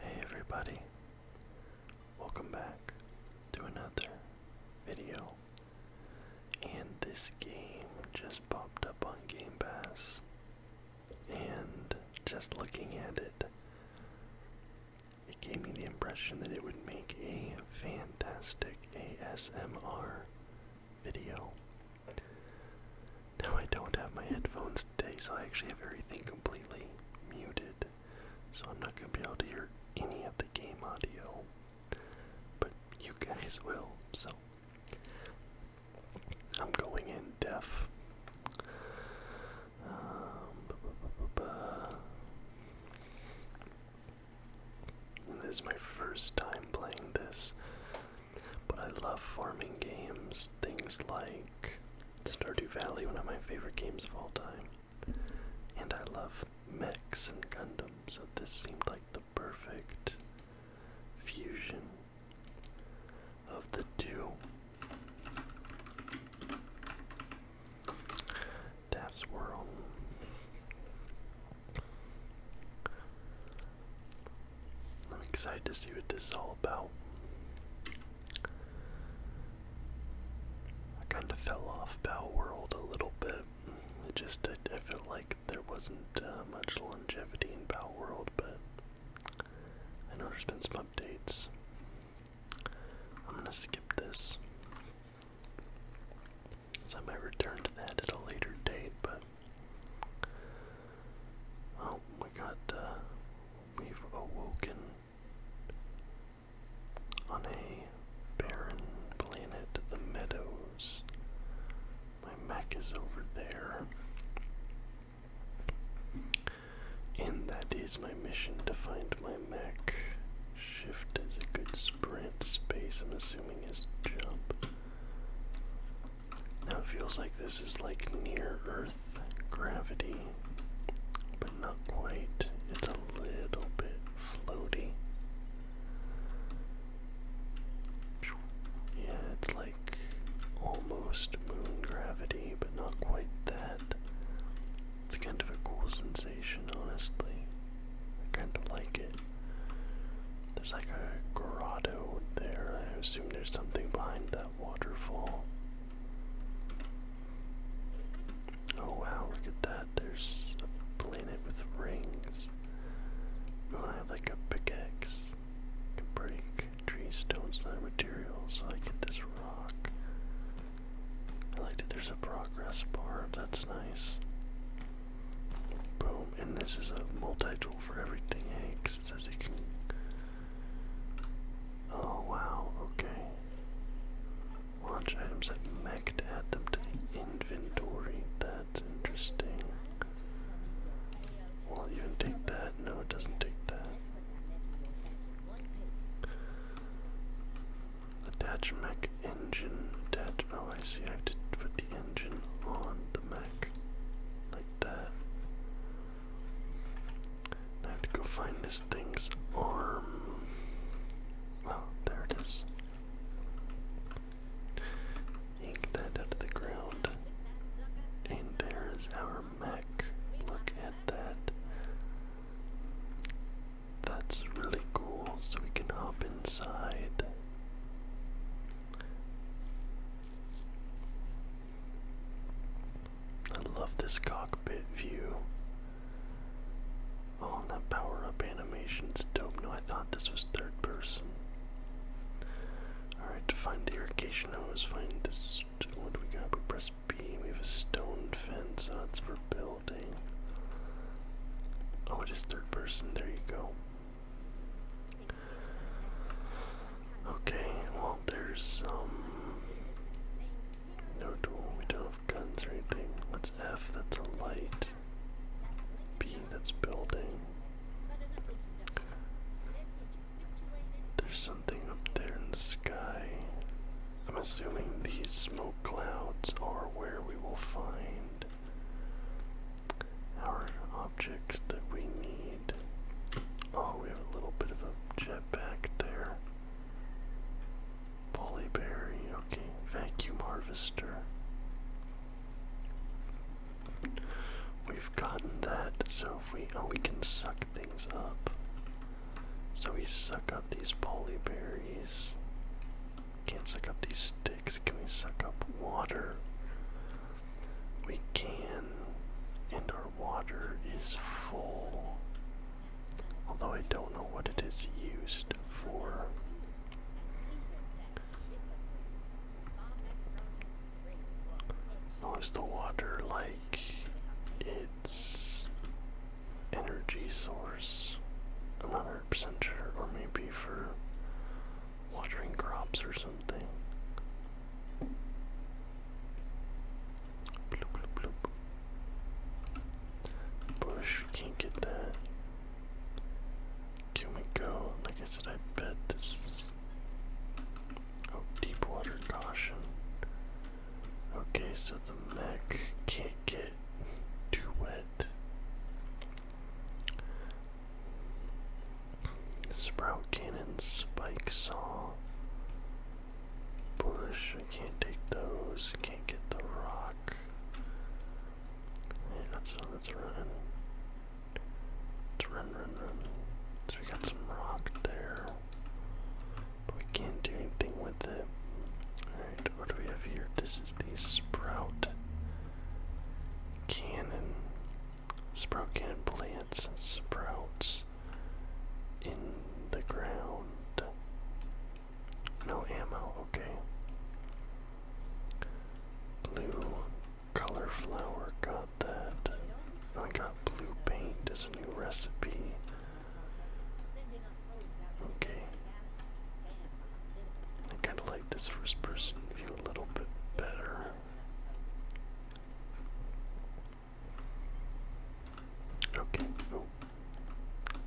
Hey everybody, welcome back to another video. And this game just popped up on Game Pass. And just looking at it, it gave me the impression that it would make a fantastic ASMR video. Now I don't have my headphones today, so I actually have everything completely muted. So I'm not going to be able to hear any of the game audio. But you guys will, so. I'm going in deaf. Um, this is my first time playing this, but I love farming games. Things like Stardew Valley, one of my favorite games of all time. And I love mechs and Gundam, so this seemed like the perfect fusion of the two. Daft's World. I'm excited to see what this is all about. I kind of fell off Bow World a little bit. It just, I, I felt like there wasn't uh, much longevity in Bow World, but I know there's been some updates. I'm gonna skip this. So I might return to that at a later date, but. Oh, we got, uh, we've awoken on a barren planet, the meadows. My mech is over there. And that is my mission to find my mech. Shift is a good sprint, space, I'm assuming, is jump. Now it feels like this is like near Earth gravity, but not quite. It's a little bit floaty. Yeah, it's like almost moon gravity, but not quite that. It's kind of a cool sensation, honestly. I kind of like it. There's like a grotto there. I assume there's something behind that waterfall. Oh wow, look at that. There's a planet with rings. We want have like a pickaxe. I can break tree, stones, and other materials, so I get this rock. I like that there's a progress bar, that's nice. Boom, and this is a multi-tool for everything, eh? Because it says you can Oh wow, okay. Launch items like Mac to add them to the inventory. That's interesting. Will it take that? No, it doesn't take that. Attach mech engine. Attach. Oh, I see. I have to put the engine on the mech. Like that. I have to go find this thing's arm. Well, there it is. Yank that out of the ground. And there is our mech. Look at that. That's really cool. So we can hop inside. I love this cockpit view. Oh, and that power up animation's dope. No, I thought this was third person. Alright, to find the irrigation hose, find this. What do we got? We press B. We have a stone fence. Oh, it's for building. Oh, it is third person. There you go. Okay, well there's some. Um, no tool, we don't have guns or anything. That's F? That's a light. B that's building. There's something up there in the sky. I'm assuming these smoke clouds are where we will find our objects that we need. Oh, we have a little bit of a jetpack there. Polyberry, okay. Vacuum harvester. We've gotten that, so we oh we can suck things up. So we suck up these polyberries. Can't suck up these sticks. Can we suck up water? We can. And our water is full. Although I don't know what it is used for. is the water like its energy source? i 100% or maybe for watering crops or something. Bloop, can't get that. Can we go? Like I said, I bet this is. Oh, deep water caution. Okay, so the mech can't get too wet. Sprout cannon, spike saw. Bush, I can't take those. I can't get the rock. Yeah, that's that's running. It's run, run, run. So we got some rock there, but we can't do anything with it. All right, what do we have here? This is the sprout cannon, sprout cannon plants, sprouts in the ground. No ammo, okay. Blue color flower, got that. I got blue paint as a new recipe. Okay. I kind of like this first person view a little bit better. Okay, oh.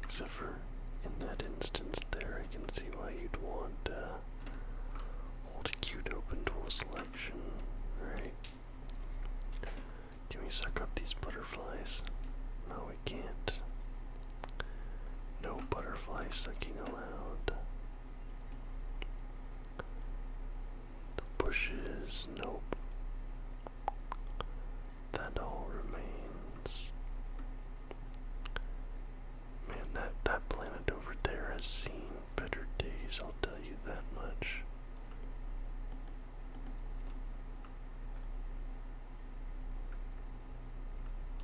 Except for in that instance there, I can see why you'd want uh, to hold cute open tool selection, right? Can we suck up these butterflies? No, we can't. No butterfly sucking allowed. The bushes, nope. That all remains. Man, that, that planet over there has seen better days, I'll tell you that much.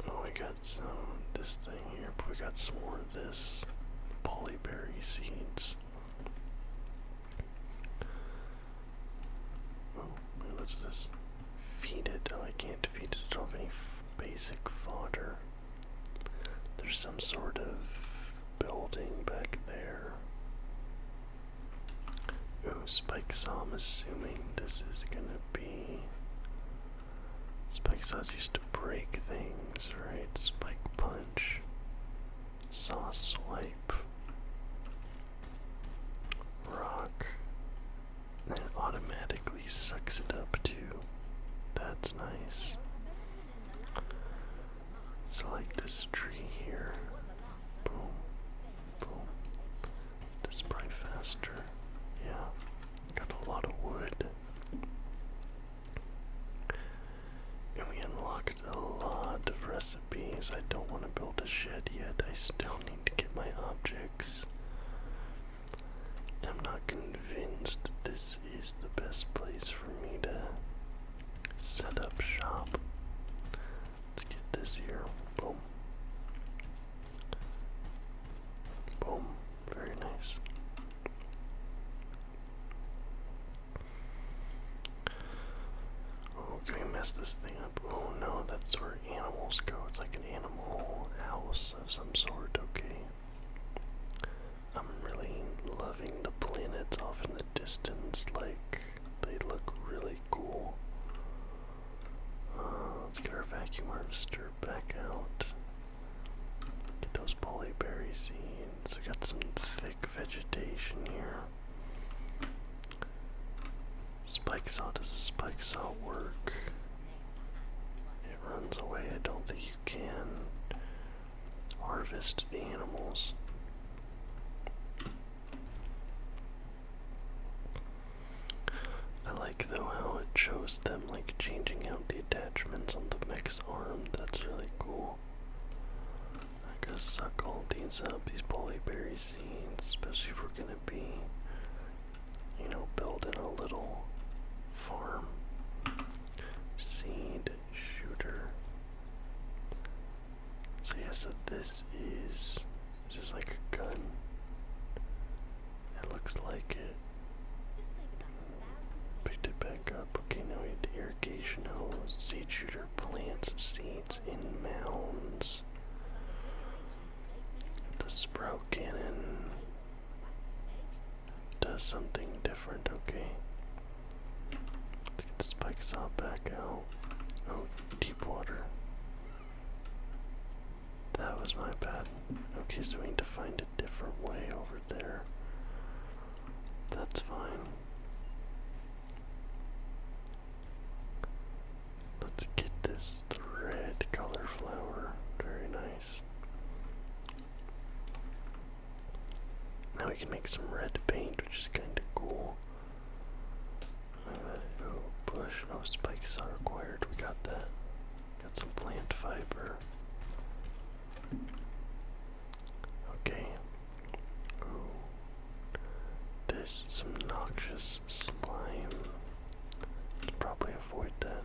Oh, we got some this thing here, but we got some more of this polyberry seeds. Oh, wait, what's this? Feed it. Oh, I can't feed it. I don't have any basic fodder. There's some sort of building back there. Oh, Spike Saw, I'm assuming this is gonna be. Spike Saws used to break things, right? Spike Punch. Saw Swipe, Rock, it automatically sucks it up too. That's nice. So, like this tree here. Boom. Boom. This faster. Yeah. Got a lot of wood. And we unlocked a lot of recipes. I don't want to build a shed yet. I still need to get my objects. I'm not convinced this is the best place for me to set up shop. Let's get this here. Boom. Boom. Very nice. Oh, can we mess this thing up? Oh no, that's where animals go. It's like an animal house of some sort, okay? I'm really loving the planets off in the distance, like, they look really cool. Uh, let's get our vacuum harvester back out. Get those polyberry seeds. I got some thick vegetation here. Spike saw does the spike saw work? It runs away. I don't think you can harvest the animals. I like though how it shows them like changing out the attachments on the mech's arm. That's really cool. I gotta suck all these up, these polyberry seeds, especially if we're gonna be, you know, building a little farm. Seed shooter. So yeah, so this is, this is like a gun? It looks like it. Picked it back up. Okay, Buccanoid irrigation hose, seed shooter plants seeds in mounds. The sprout and does something different, okay. get the spikes saw back out. Oh, deep water. That was my bad. Okay, so we need to find a different way over there. That's fine. Let's get this red color flower. Very nice. Now we can make some red paint, which is kind of cool. Uh, oh, bush. Oh, spikes are required. We got that. Got some plant fiber. Okay. This is some noxious slime. probably avoid that.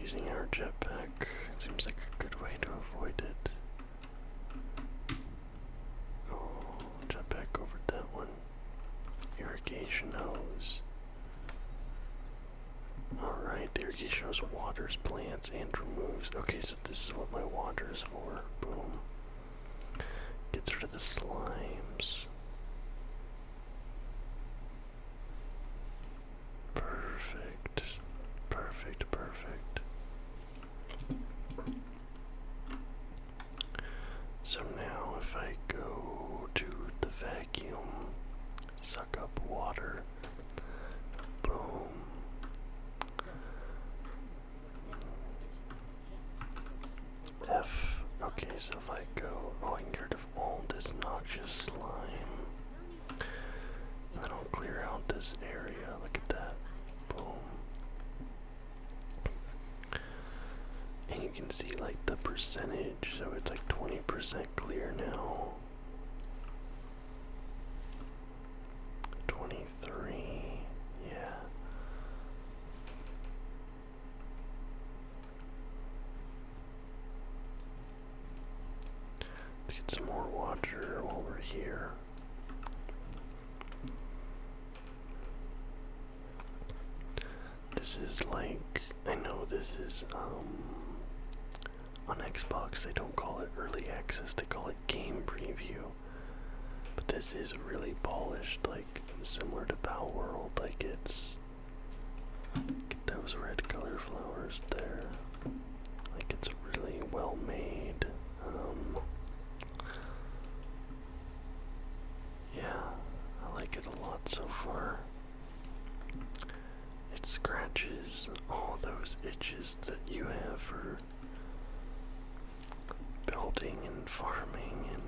Using our jetpack seems like a good way to avoid it. Oh, jetpack over that one. Irrigation hose. Alright, the irrigation hose waters plants and removes. Okay, so this is what my water is for. Boom. Gets rid of the slimes. Perfect. Perfect, perfect. So now if I go to the vacuum, suck up water, Boom. F. Okay, so if I go, oh, I can get rid of all this noxious slime. I'll clear out this area. Look at that. Boom. And you can see like the percentage, so it's like 20% clear now. Twenty-three, yeah. Let's get some more water while we're here. This is like I know this is um on Xbox, they don't call it early access, they call it game preview. But this is really polished, like similar to Power World. Like it's. those red color flowers there. Like it's really well made. Um, yeah, I like it a lot so far. It scratches all those itches that you have for building and farming and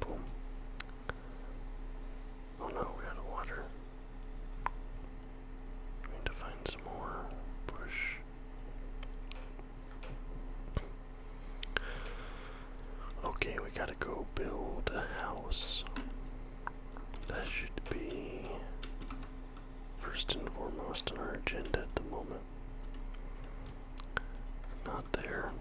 boom. Oh no, we got water. need to find some more bush. Okay, we gotta go build a house. That should be first and foremost on our agenda at the moment. Not there.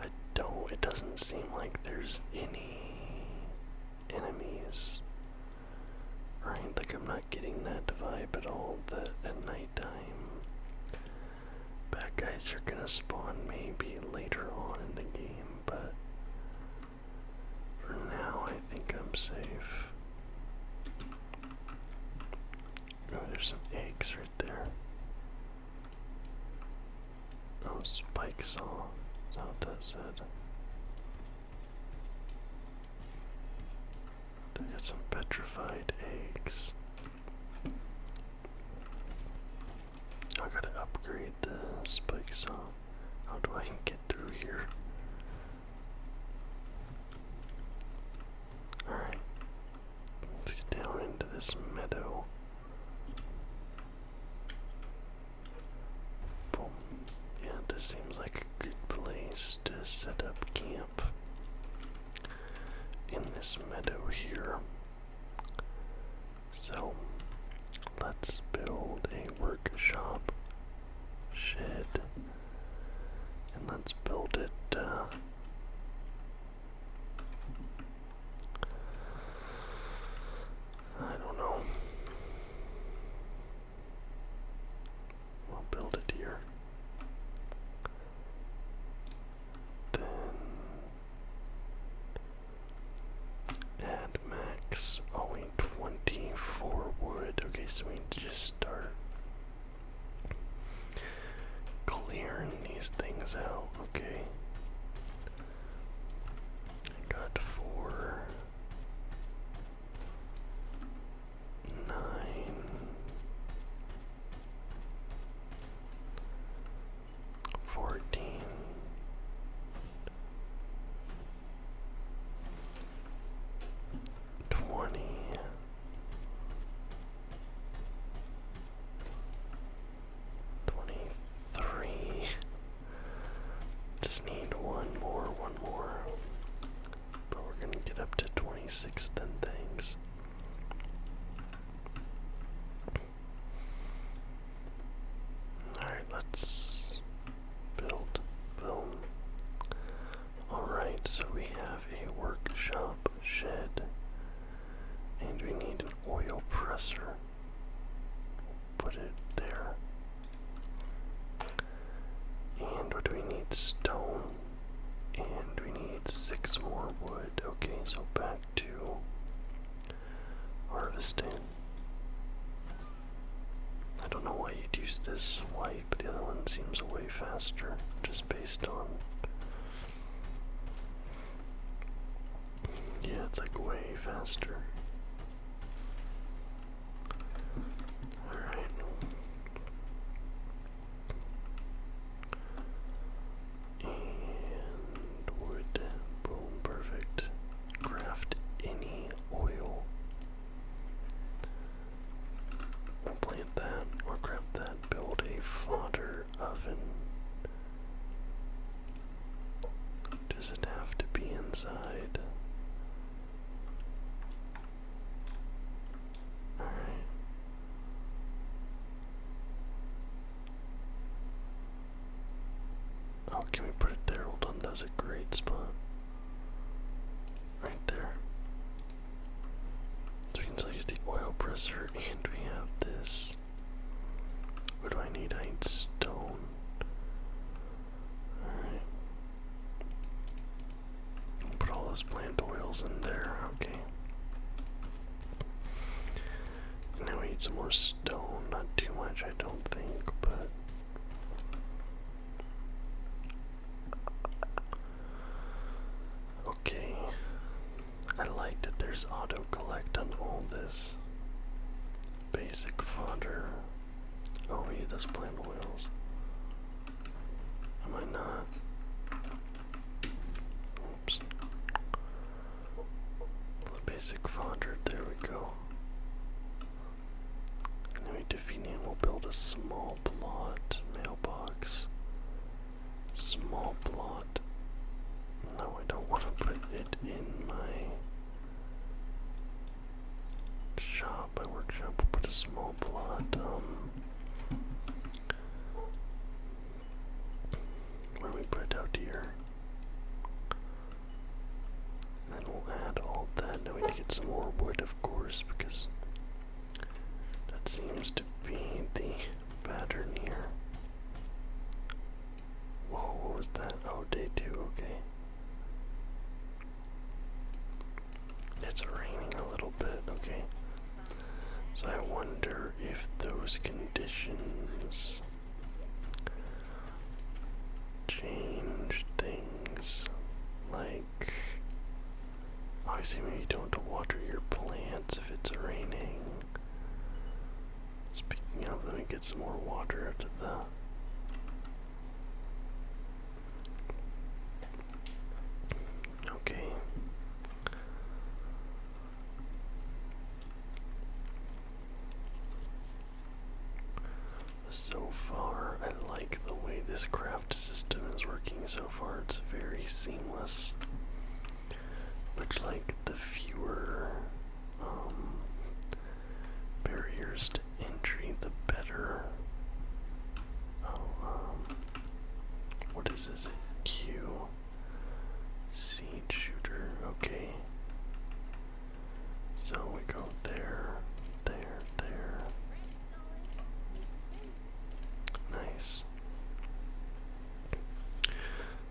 I don't, it doesn't seem like there's any enemies. Right, like I'm not getting that vibe at all that at nighttime bad guys are gonna spawn maybe later on in the game but for now I think I'm safe. Oh, there's some eggs right there. Oh, spike saw. That's how that said. They got some petrified eggs. I gotta upgrade the spikes. saw. How do I get through here? Alright. Let's get down into this meadow. Boom. Yeah, this seems like a good place to set up camp. In this meadow here. So let's build a workshop shed and let's build it. Uh, I don't know. We'll build it here. Then Add max. Oh, we need 24 wood. Okay, so we just start clearing these things out. Okay. got four. Nine fourteen. Twenty Just need one more, one more. But we're gonna get up to twenty six then things. Alright, let's build. Boom. Alright, so we have a workshop shed. And we need an oil presser. Put it there. And what do we need? Stone. And we need six more wood. Okay, so back to harvesting. I don't know why you'd use this white, but the other one seems way faster, just based on. Yeah, it's like way faster. Alright. And and Boom, perfect. Craft any oil. plant that or craft that. Build a fodder oven. Does it have to be inside? Alright. Oh, can we put it there? Hold on, that's a great spot. Right there. So we can still use the oil presser, and we have this. What do I need? I need stone. Alright. Put all those plant oils in there, okay now we need some more stone. Not too much, I don't think, but. Okay. I like that there's auto collect on all this basic fodder. Oh, we need those plant wheels. Am I not? Oops basic 400, there we go. Anyway, Definium will build a small plot mailbox. Small plot. No, I don't want to put it in my shop, my workshop. We'll put a small plot. Um, where do we put it out here? And then we'll add all that. Now we need to get some more wood, of course, because that seems to be the pattern here. Whoa, what was that? Oh, day two, okay. It's raining a little bit, okay. So I wonder if those conditions change things like obviously maybe you don't have to water your plants if it's raining. Speaking of, let me get some more water after that. Okay. So far, I like the way this craft system is working so far. It's very seamless. Much like the fewer um, barriers to entry, the better. Oh, um, what is this? Q. Seed shooter. Okay. So we go there, there, there. Nice.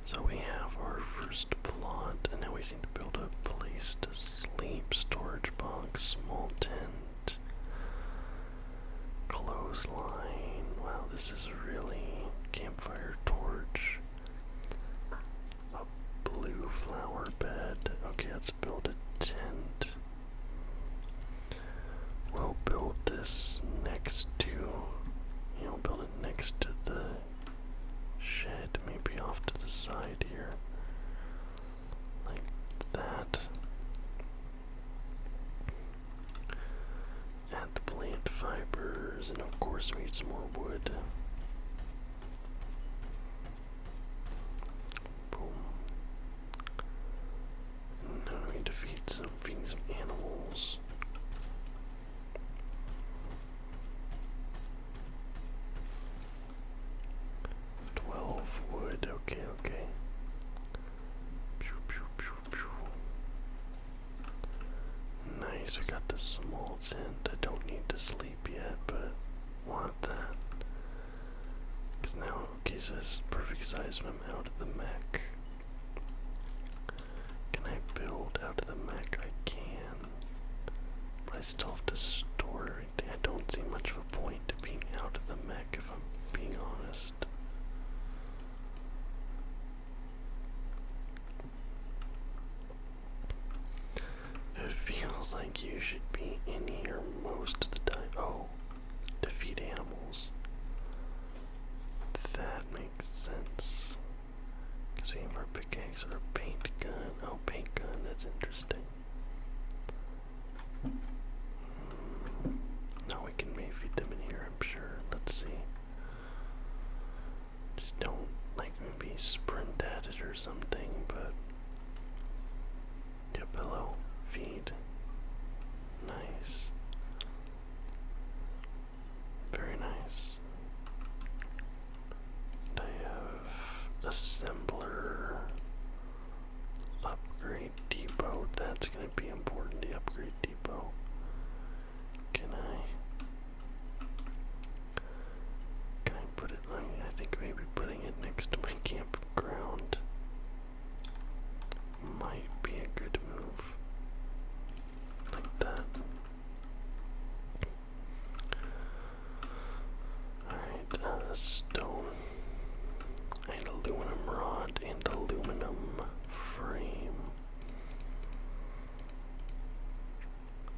So we have our first plot, and now we seem to build a place to sleep, storage box, small tent, clothesline. Wow, this is really campfire torch. A blue flower bed. Okay, let's build a tent. We'll build this next to, you know, build it next to the shed, maybe off to the side here. Like that. Add the plant fibers, and of course, we need some more wood. Boom. And now we defeat some feeding some animals. Twelve wood, okay, okay. Nice, we got this small tent. I don't need this sleep yet, but want that. Because now Okisa has perfect size when I'm out of the mech. Can I build out of the mech? I can. But I still have to store everything. I don't see much of a point to being out of the mech if I'm being honest. It feels like you should be in here most of the time. Oh, feed animals. That makes sense. we have our pickaxe or paint gun. Oh, paint gun, that's interesting. Hmm. Now we can maybe feed them in here, I'm sure. Let's see. Just don't like maybe sprint at it or something, but your pillow feed. Nice. Very nice. And I have assembler upgrade depot. That's gonna be important. The upgrade depot. Can I can I put it I think maybe putting it next to my campground might be a good move. Like that. Alright, uh, stone. An aluminum rod and aluminum frame.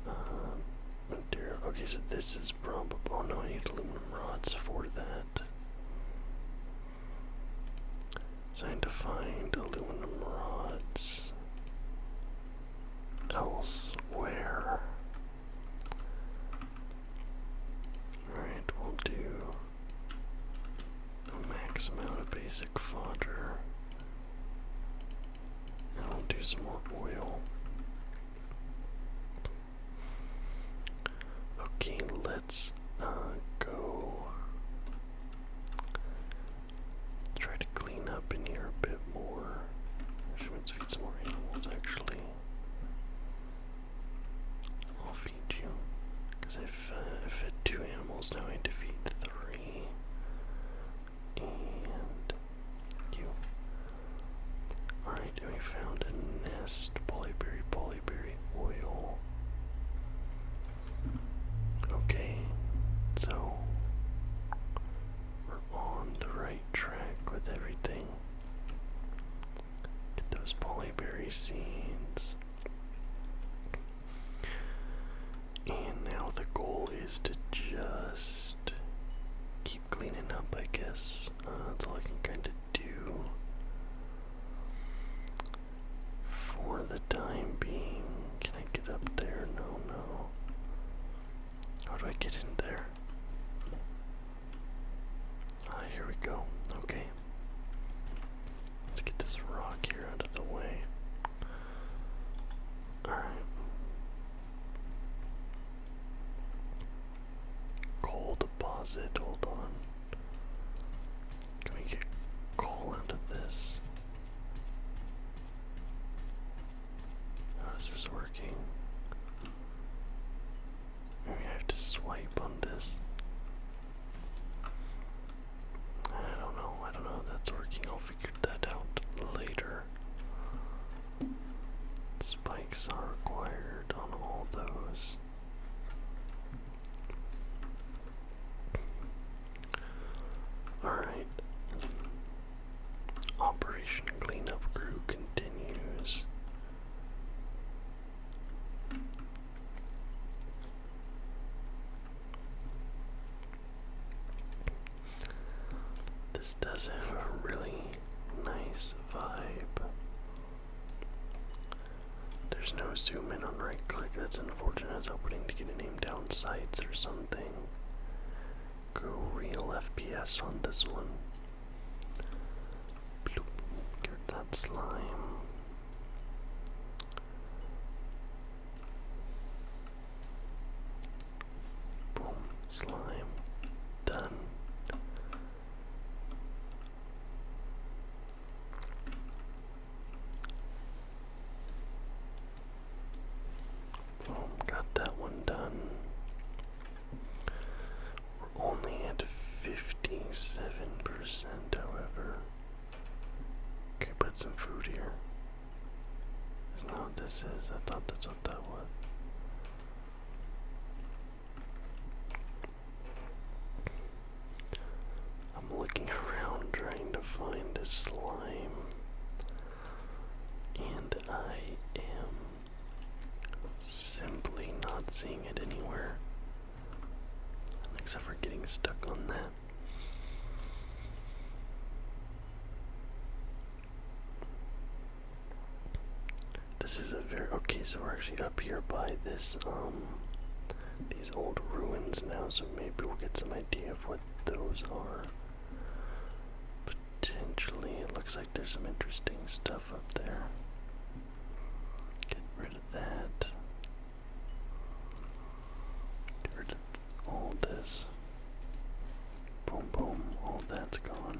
Uh, material. Okay, so this is probably. Oh no, I need aluminum rods for that. So I to find aluminum rods elsewhere. Alright, we'll do a max amount of basic fodder. I'll do some more oil. Okay, let's uh, go try to clean up in here a bit more. Actually, let's feed some more animals, actually. I'll feed you. Because I uh, fed two animals, now I need to feed three and you. Alright, we found a nest. Polyberry, polyberry oil. Okay, so we're on the right track with everything. Get those polyberry seeds. And now the goal is to just keep cleaning up, I guess. Uh, that's all I can kind of do for the time being. Can I get up there? No, no. How do I get in there? Ah, here we go. Okay. Let's get this rock here out of the way. Alright. Coal deposit, hold on. Can we get coal out of this? How is this working? Maybe I have to swipe on this. I don't know, I don't know that's working figured that out later. Spikes are required on all those. Alright. Operation Cleanup Crew continues. This does have a really nice vibe. There's no zoom in on right click, that's unfortunate. I was hoping to get a name down sites or something. real FPS on this one. Bloop. Get that slime. Boom. Slime. Done. Got that one done. We're only at 57%, however. Okay, put some food here. Is not what this is. I thought that's what that was. I'm looking around trying to find a slime, and I am simply not seeing it anywhere, except for getting stuck on that. This is a very okay, so we're actually up here by this um these old ruins now, so maybe we'll get some idea of what those are. Potentially it looks like there's some interesting stuff up there. Get rid of that. Get rid of all this. Boom, boom, all that's gone.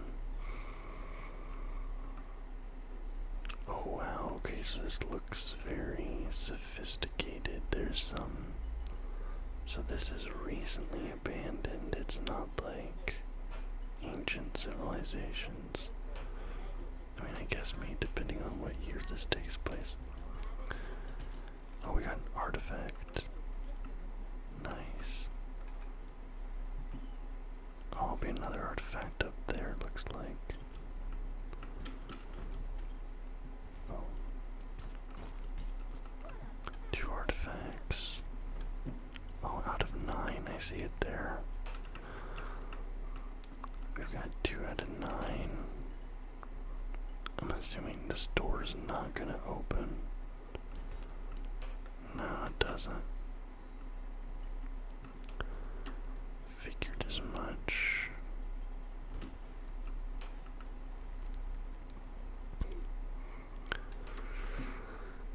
Oh wow, okay, so this looks very sophisticated. There's some. So this is recently abandoned, it's not like ancient civilizations. I mean, I guess, me depending on what year this takes place. Oh, we got an artifact. Nice. Oh, be another artifact up there, looks like. Oh. Two artifacts. Oh, out of nine, I see it there. We've got two out of nine. I'm assuming this door's not gonna open. No, it doesn't. Figured as much.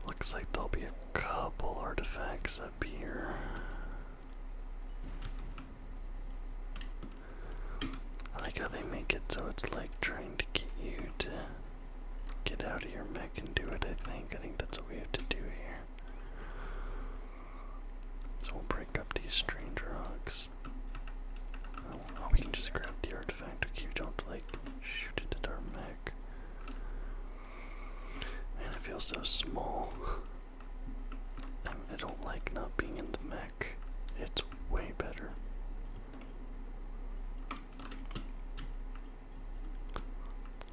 Looks like there'll be a couple artifacts up here. I like how they make it so it's like trying to get you to get out of your mech and do it, I think. I think that's what we have to do here. So we'll break up these strange rocks. Oh, we can just grab the artifact. Okay, we don't like shoot it at our mech. And I feel so small. Um, I don't like not being in the mech. It's way better.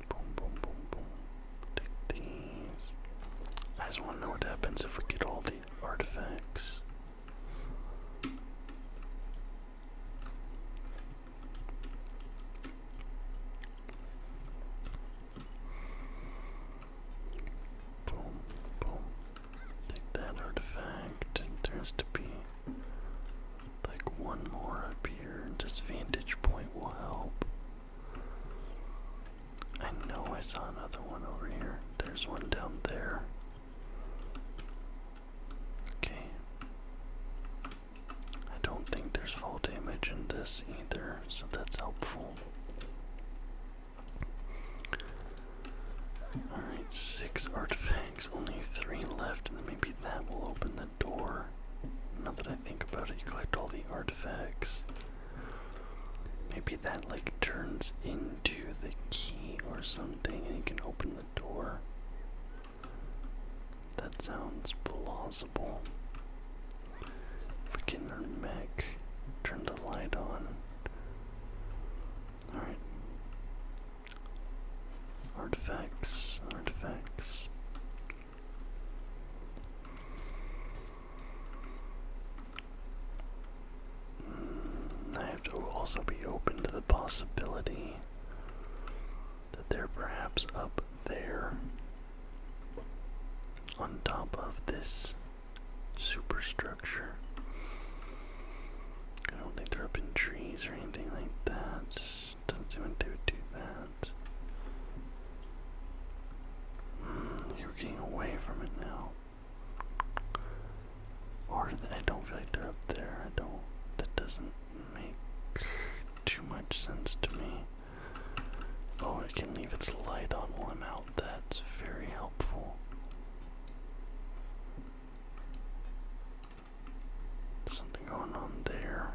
Boom, boom, boom, boom. Take these. I just want to know what happens if we get all the artifacts. Boom, boom, Take that artifact. There has to be like one more up This vantage point will help. I know I saw another one over here. There's one down there. Okay. I don't think there's full damage in this either, so that's helpful. Alright, six artifacts, only three left, and maybe that will open the door. Now that I think about it, you collect all the artifacts. Maybe that like turns into the key or something and you can open the door. That sounds plausible. Freaking mech. Turn the light on. Alright. Artifacts, artifacts. Mm, I have to also be open to the possibility that they're perhaps up there on top of this superstructure structure. I don't think they're up in trees or anything like that. Doesn't seem like they would do that. Hmm, you're getting away from it now. Or I don't feel like they're up there. I don't. That doesn't make too much sense to me. Oh, it can leave its light on while out. That's very helpful. Something going on there.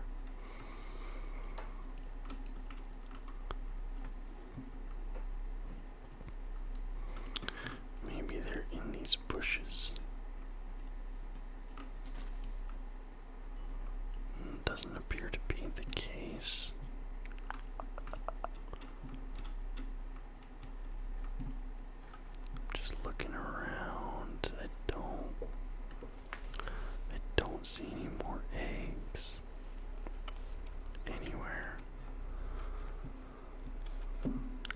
Maybe they're in these bushes. Hmm, doesn't appear to be the case. I'm Just looking around. I don't. I don't see any more eggs anywhere.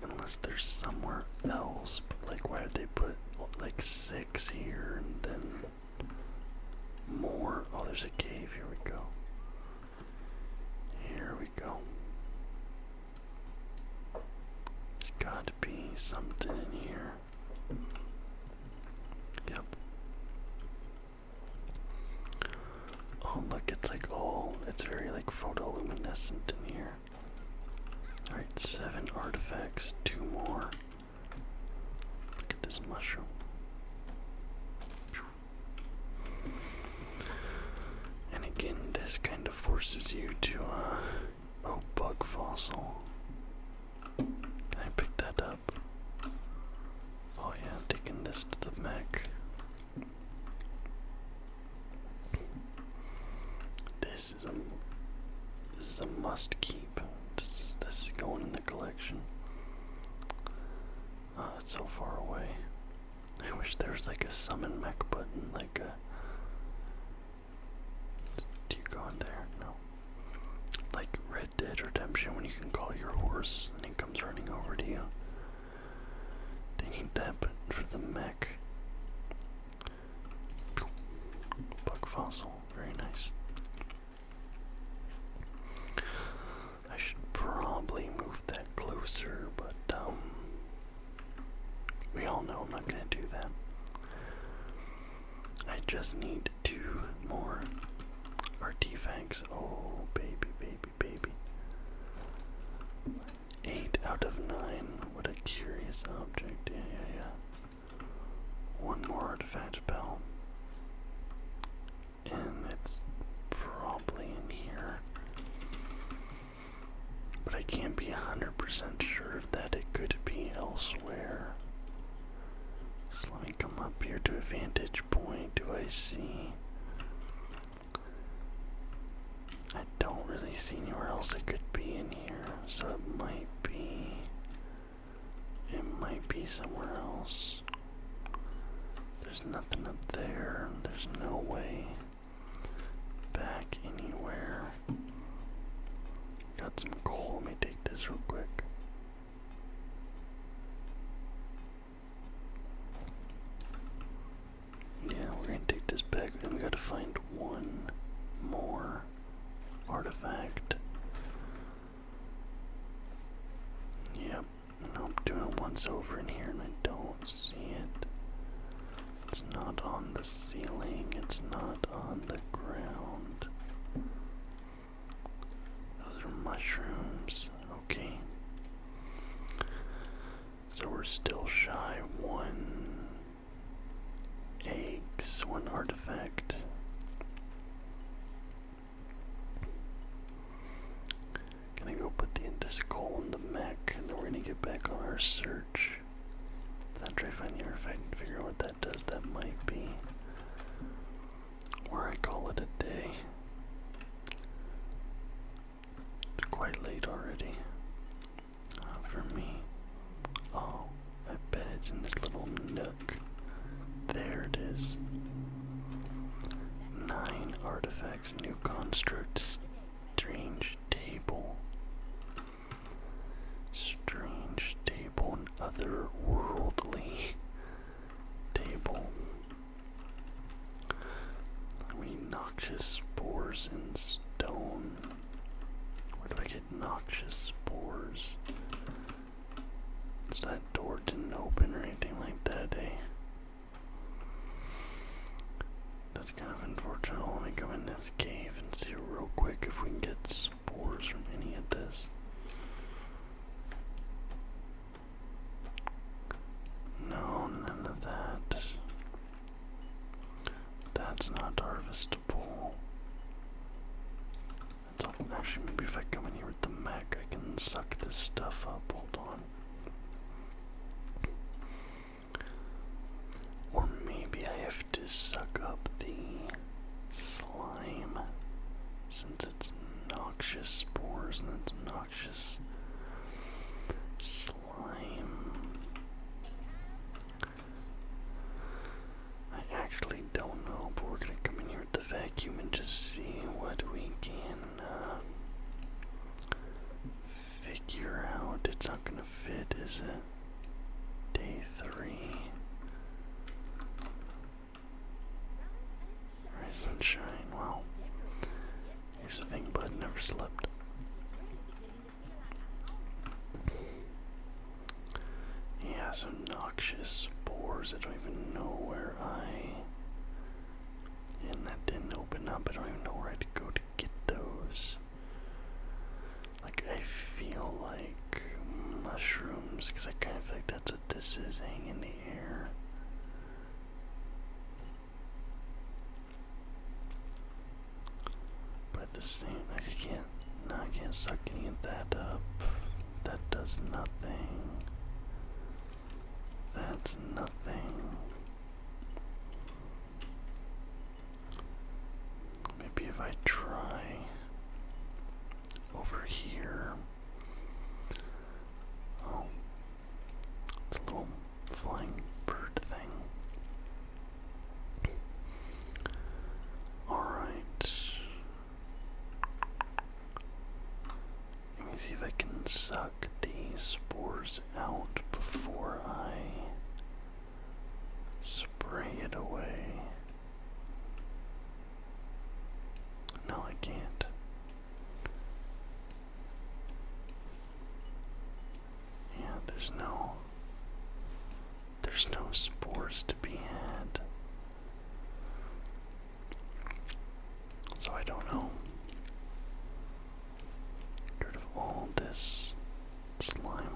Unless there's somewhere else, but like why would they put like six here and then more? Oh, there's a cave. Here we go. Here we go. There's got to be something in here. Yep. Oh look, it's like oh, it's very like photoluminescent in here. Alright, seven artifacts, two more. Look at this mushroom. And again, this kind of forces you to, a uh, oh, bug fossil. I picked that up? Oh yeah, taking this to the mech. This is a this is a must keep. This is this is going in the collection. Oh, it's so far away. I wish there was like a summon mech button, like a. Uh, do you go in there? No. Like Red Dead Redemption, when you can call your horse and it comes running over to you. They need that, but for the mech. Bug fossil, very nice. I should probably move that closer, but um, we all know I'm not gonna do that. I just need two more artifacts. Oh, baby, baby, baby. Eight out of nine. What a curious object. Yeah, yeah, yeah. One more artifact bell. And it's probably in here. But I can't be 100% sure that it could be elsewhere. So let me come up here to a vantage point. Do I see? I don't really see anywhere else it could be in here, so it might be. It might be somewhere else. There's nothing up there. There's no way back anywhere. Got some coal. Let me take this real quick. Yeah, we're gonna take this back, and we gotta find one more artifact. Yep, I'm doing it once over in here, and I don't see it. It's not on the ceiling, it's not on the ground. Those are mushrooms. Okay. So we're still shy one eggs, one artifact. Gonna go put the Indiskull in the mech, and then we're gonna get back on our search. I'll try to find here if I can figure out what that does. That might be where I call it a day. It's quite late already for me. Oh, I bet it's in this little nook. There it is. Nine artifacts, new constructs, Strange table. Strange table and otherworldly table. We noxious spores in stone. Where do I get noxious spores? So that door didn't open or anything like that, eh? That's kind of unfortunate. Let me go in this cave and see real quick if we can get spores from any of this. No, none of that. That's not harvestable. Actually, maybe if I come in here with the Mac, I can suck this stuff up. Hold on. Or maybe I have to suck up the slime since it's noxious spores and it's noxious slime. I actually don't know, but we're gonna come in here with the vacuum and just see what we can uh, figure out. It's not gonna fit, is it? Day three. Rise sunshine. Well, Here's the thing, bud. Never slept. Yeah, so noxious spores. I don't even know where I. And that didn't open up. I don't even know where I'd go to get those. Like, I feel like mushrooms, because I kind of feel like that's what this is hanging in the air. But at the same, like I can't, no, I can't suck any of that up. That does nothing. That's nothing. Maybe if I try over here. Oh, it's a little flying bird thing. Alright. Let me see if I can suck pluck these spores out before I spray it away. No, I can't. Yeah, there's no there's no spores to be had. So I don't know. Get rid of all this slime.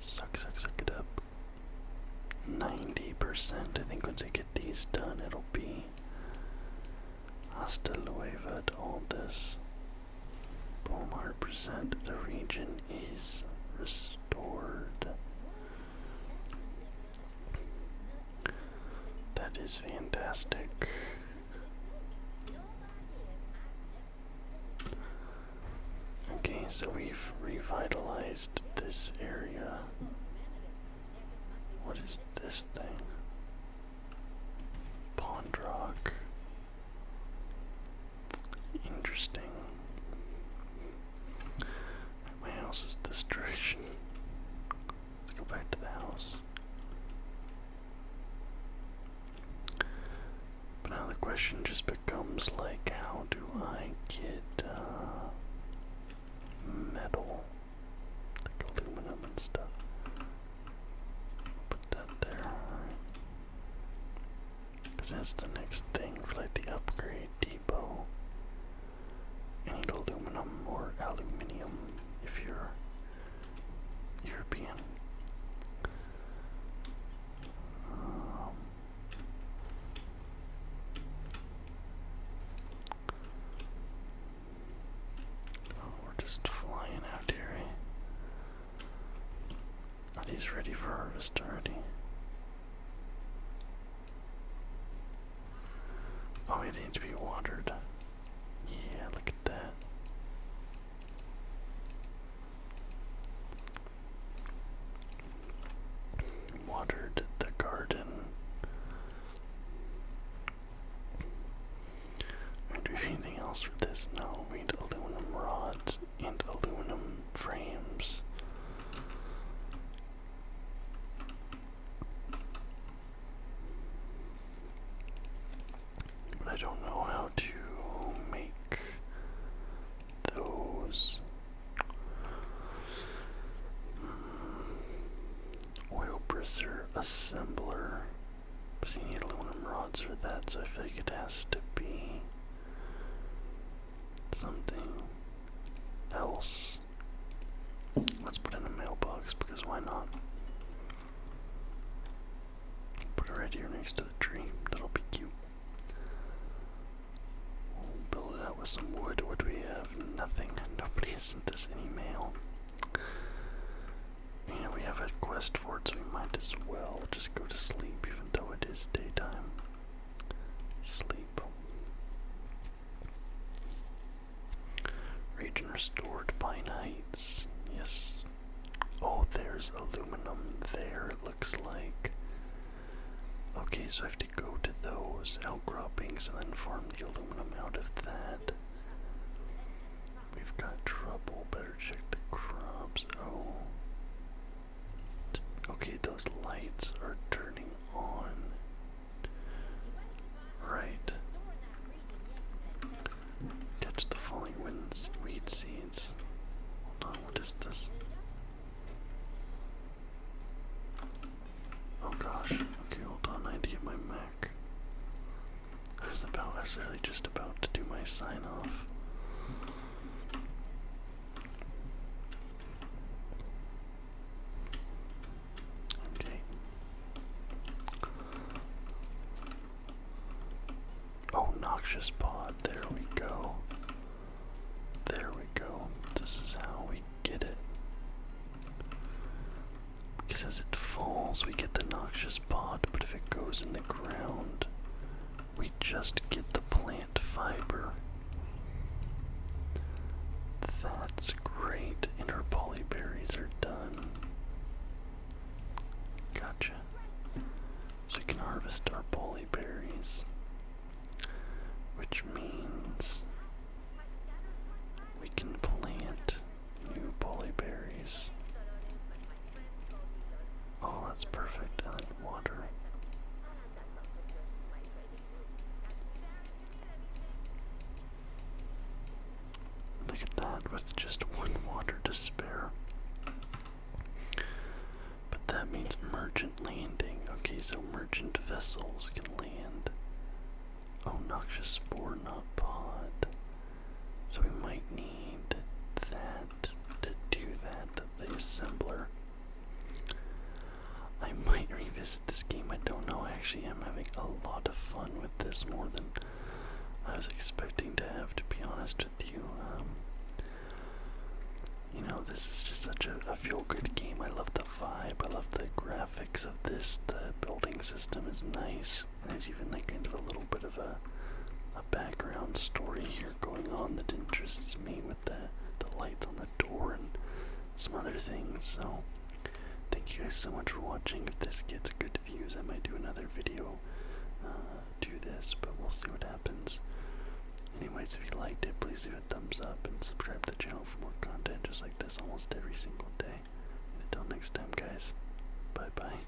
Suck, suck, suck it up. 90%. I think once I get these done, it'll be hasta luego at all this. Boom, percent The region is restored. That is fantastic. Okay, so we've revitalized this area. What is this thing? Pond rock. Interesting. My house is this direction. Let's go back to the house. But now the question just becomes like, how do I get uh, metal, like aluminum and stuff? Put that there. Because that's the next thing for like the upgrade depot. need aluminum or aluminium if you're European. Um, oh, we're just flying out here. Eh? Are these ready for harvest already? Oh, they need to be watered. Yeah, look at that. Watered the garden. Am I doing anything else with this? No, we need aluminum rods and aluminum frames. But I don't know how to make those hmm. oil preserver assembler. Because you need aluminum rods for that, so I feel like it has to be something else. Let's put in a mailbox because why not? Put it right here next to the tree. That'll be cute. build it with some wood. What do we have? Nothing. Nobody has sent us any mail. And we have a quest for it, so we might as well just go to sleep, even though it is daytime. Sleep. Region restored, Pine Heights. Yes. Oh, there's aluminum there, it looks like. Okay, so I have to go to those outcroppings and then form the aluminum out of that. We've got trouble. Better check the crops. Oh. Okay, those lights are turning on. Right. Catch the falling winds, weed seeds. Hold on, what is this? Oh gosh. Okay, hold on, I need to get my Mac. I was about I just about to do my sign off. Okay. Oh, noxious pod. There we go. There we go. This is how we get it. Because as it falls, we get the noxious pod, but if it goes in the ground. We just get the plant fiber. That's great, and our polyberries are done. Gotcha. So we can harvest our polyberries, which means we can plant new polyberries Oh, that's perfect. And then water. Look at that, with just one water to spare. But that means merchant landing. Okay, so merchant vessels can land. Oh, noxious spore, not pod. So we might need that to do that, the assembler. I might revisit this game, I don't know. Actually, I'm having a lot of fun with this more than I was expecting to have, to be honest with you. Um, you know, this is just such a feel good game. I love the vibe, I love the graphics of this. The building system is nice. There's even like kind of a little bit of a a background story here going on that interests me with the the lights on the door and some other things. So thank you guys so much for watching. If this gets good views, I might do another video to uh, this, but we'll see what happens. Anyways, if you liked it, please leave a thumbs up and subscribe to the channel for more content just like this almost every single day. until next time, guys, bye bye.